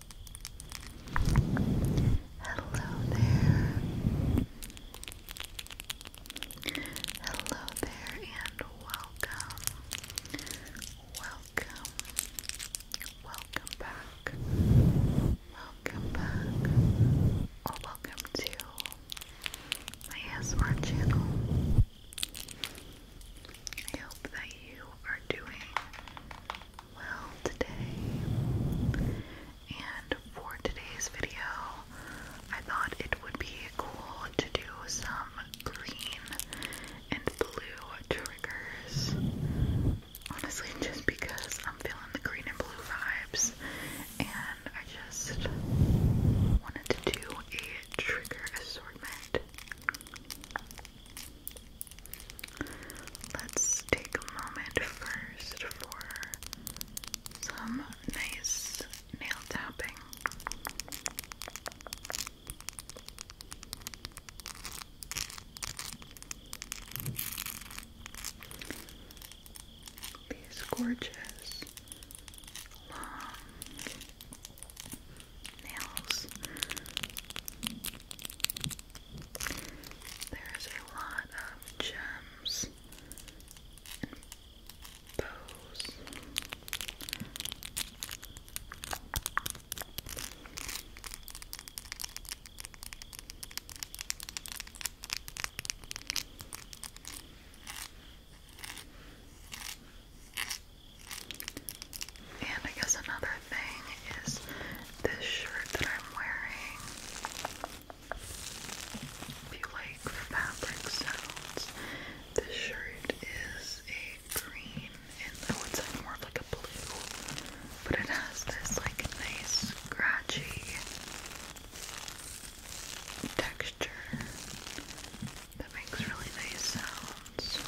Hello there. Hello there and welcome. Welcome. Welcome back. Welcome back. Oh, welcome to my ASMR channel. I hope that you are doing well today. And for today's video, I thought it would be cool to do some green and blue triggers. Honestly, just because I'm feeling the green and blue vibes, and I just wanted to do a trigger assortment. Let's take a moment first for some nice nail tapping. These gorgeous long nails. There's a lot of gems and bows. There's and I guess another thing is this shirt that I'm wearing. If you like fabric sounds, this shirt is a green and I would say more like a blue, but it has this like nice scratchy texture that makes really nice sounds.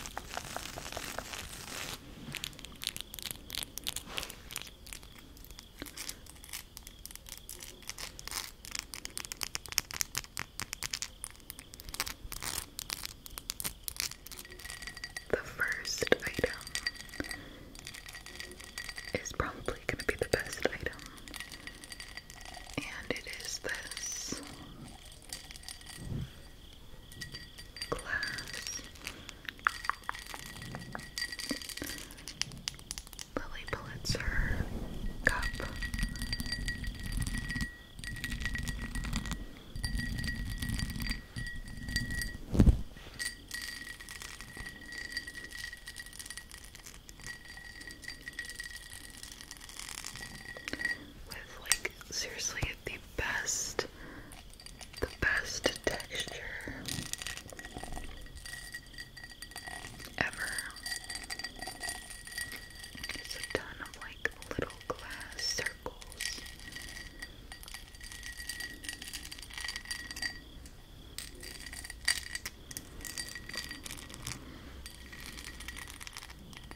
The first item is probably going to be the best item, and it is this glass Lily Pulitzer cup with like seriously the best, the best texture ever. It's a ton of like little glass circles.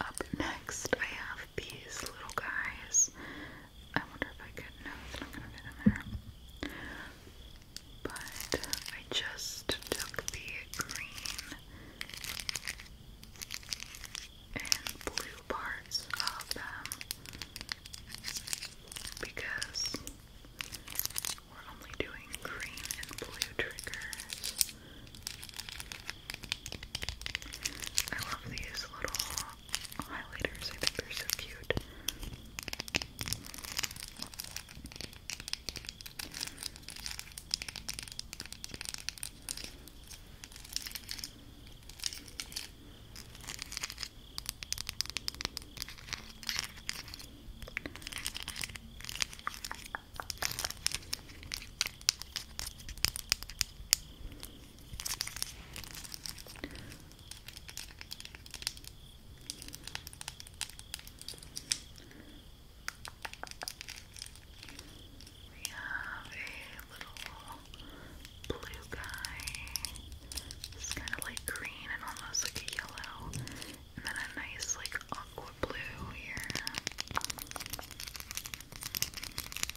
up next I have these little guys. I wonder if I could no, it's not gonna fit in there. But I just took the green and blue parts of them because we're only doing green and blue triggers. I love these little highlighters, I think they're so cute. We have a little blue guy. It's kind of like green and almost like a yellow. And then a nice like aqua blue here.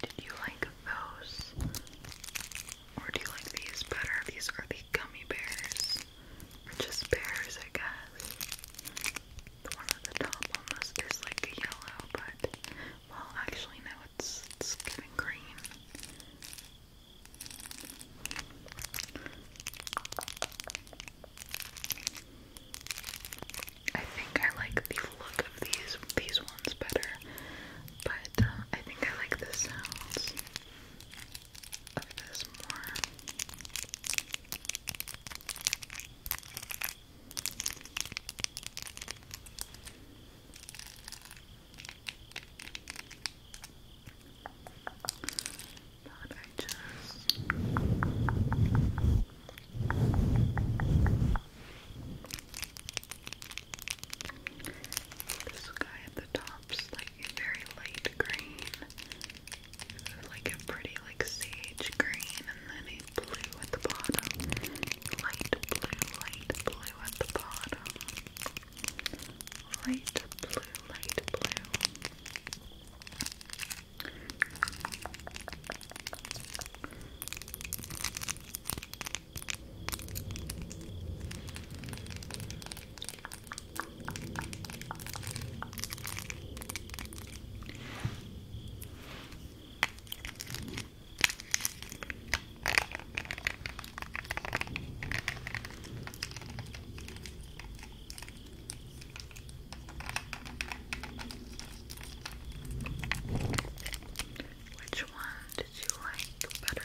Did you like those? Or do you like these better? These are the gummy bears. Or just bears, I guess. The one at the top almost is like a yellow, but well, actually, no, it's, it's giving green. I think I like the look of these these ones better, but uh, I think I like the sounds of this more. But I just this guy at the top's like very light green, like a pretty like sage green, and then blue at the bottom. Light blue, light blue at the bottom. Light blue, light blue. Light which one did you like better?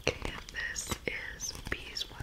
Okay, and this is beeswax.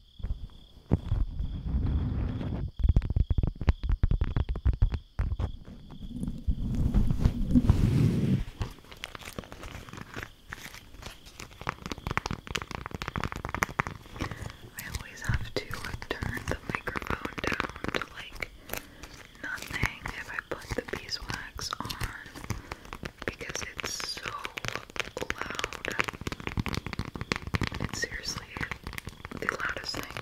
I always have to turn the microphone down to like nothing if I put the beeswax on because it's so loud. It's seriously the loudest thing.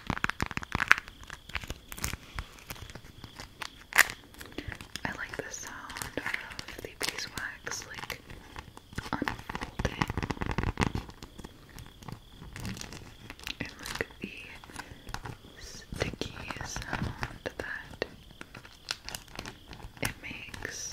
I like the sound of the beeswax like unfolding and like the sticky sound that it makes.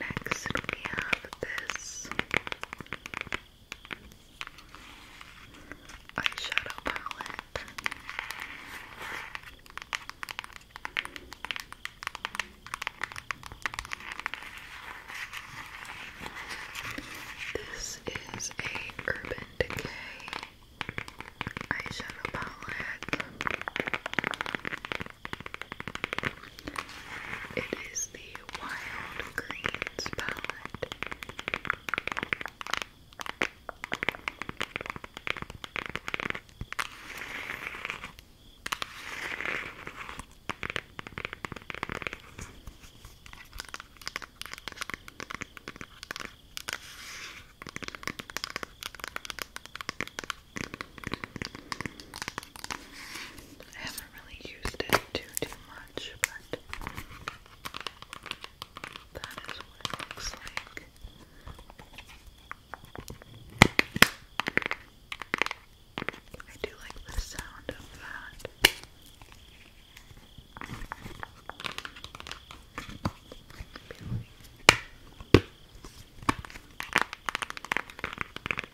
Next, we have this eyeshadow palette. This is a Urban Decay eyeshadow palette. It is the Wild Greens palette. I haven't really used it too too much, but that is what it looks like. I do like the sound of that.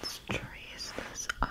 Let's trace this eye.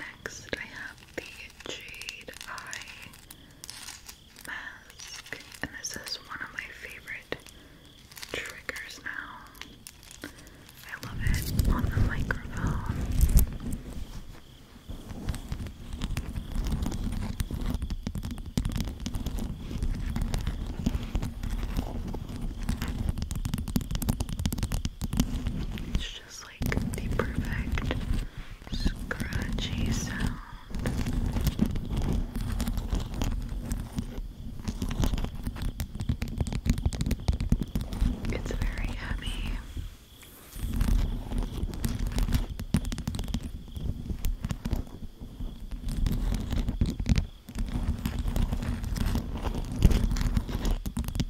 Next, I have the Jade and this is one of my favorite triggers now. I love it on the microphone. It's just like the perfect scratchy sound. It's very heavy.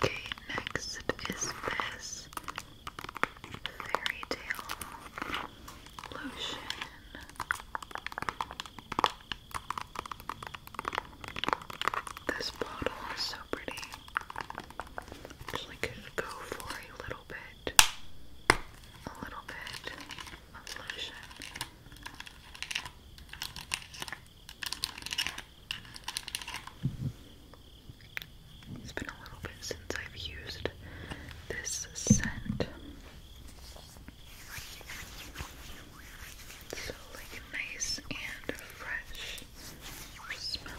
Okay, next is this fairy tale lotion. This bottle is so pretty. Actually, could go for a little bit, a little bit of lotion. It's been a little bit since I've used this scent. It's so like nice and fresh smelling.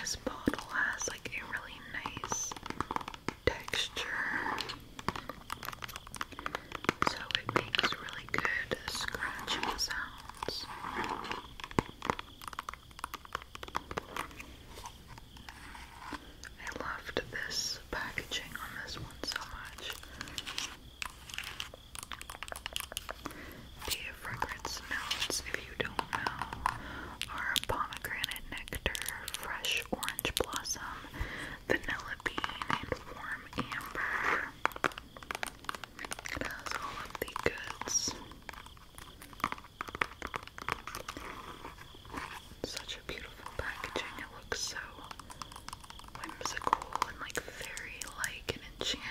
this bottle has like a really nice texture. So it makes really good scratching sounds. I loved this packaging on this one so much. The fragrance notes, if you don't know, are pomegranate nectar, fresh orange blossom, vanilla bean, and warm amber. It has all goods. Such a beautiful packaging. It looks so whimsical and like fairy like and enchanted.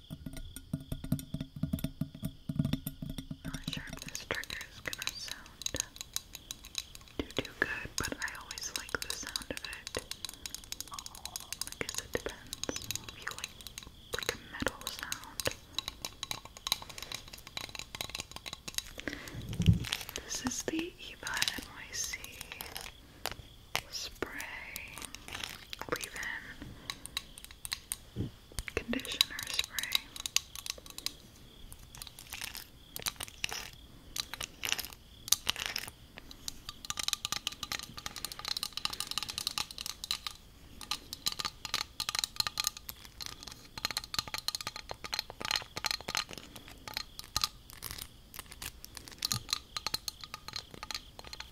Not sure if this trigger is gonna sound too too good, but I always like the sound of it. I guess it depends if you like like a metal sound. This is the Eva NYC spray, or even conditioner spray.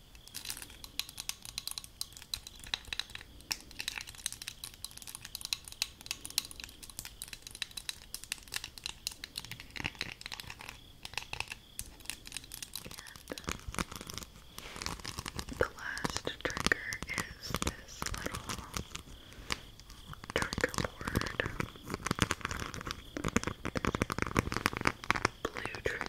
And the last trigger is this little trigger board blue trigger board.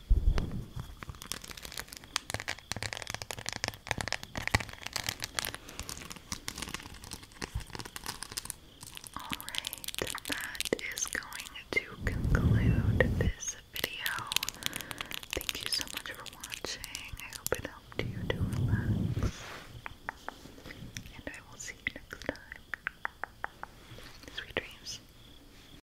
Alright, that is going to conclude this video. Thank you so much for watching. I hope it helped you to relax. And I will see you next time. Sweet dreams.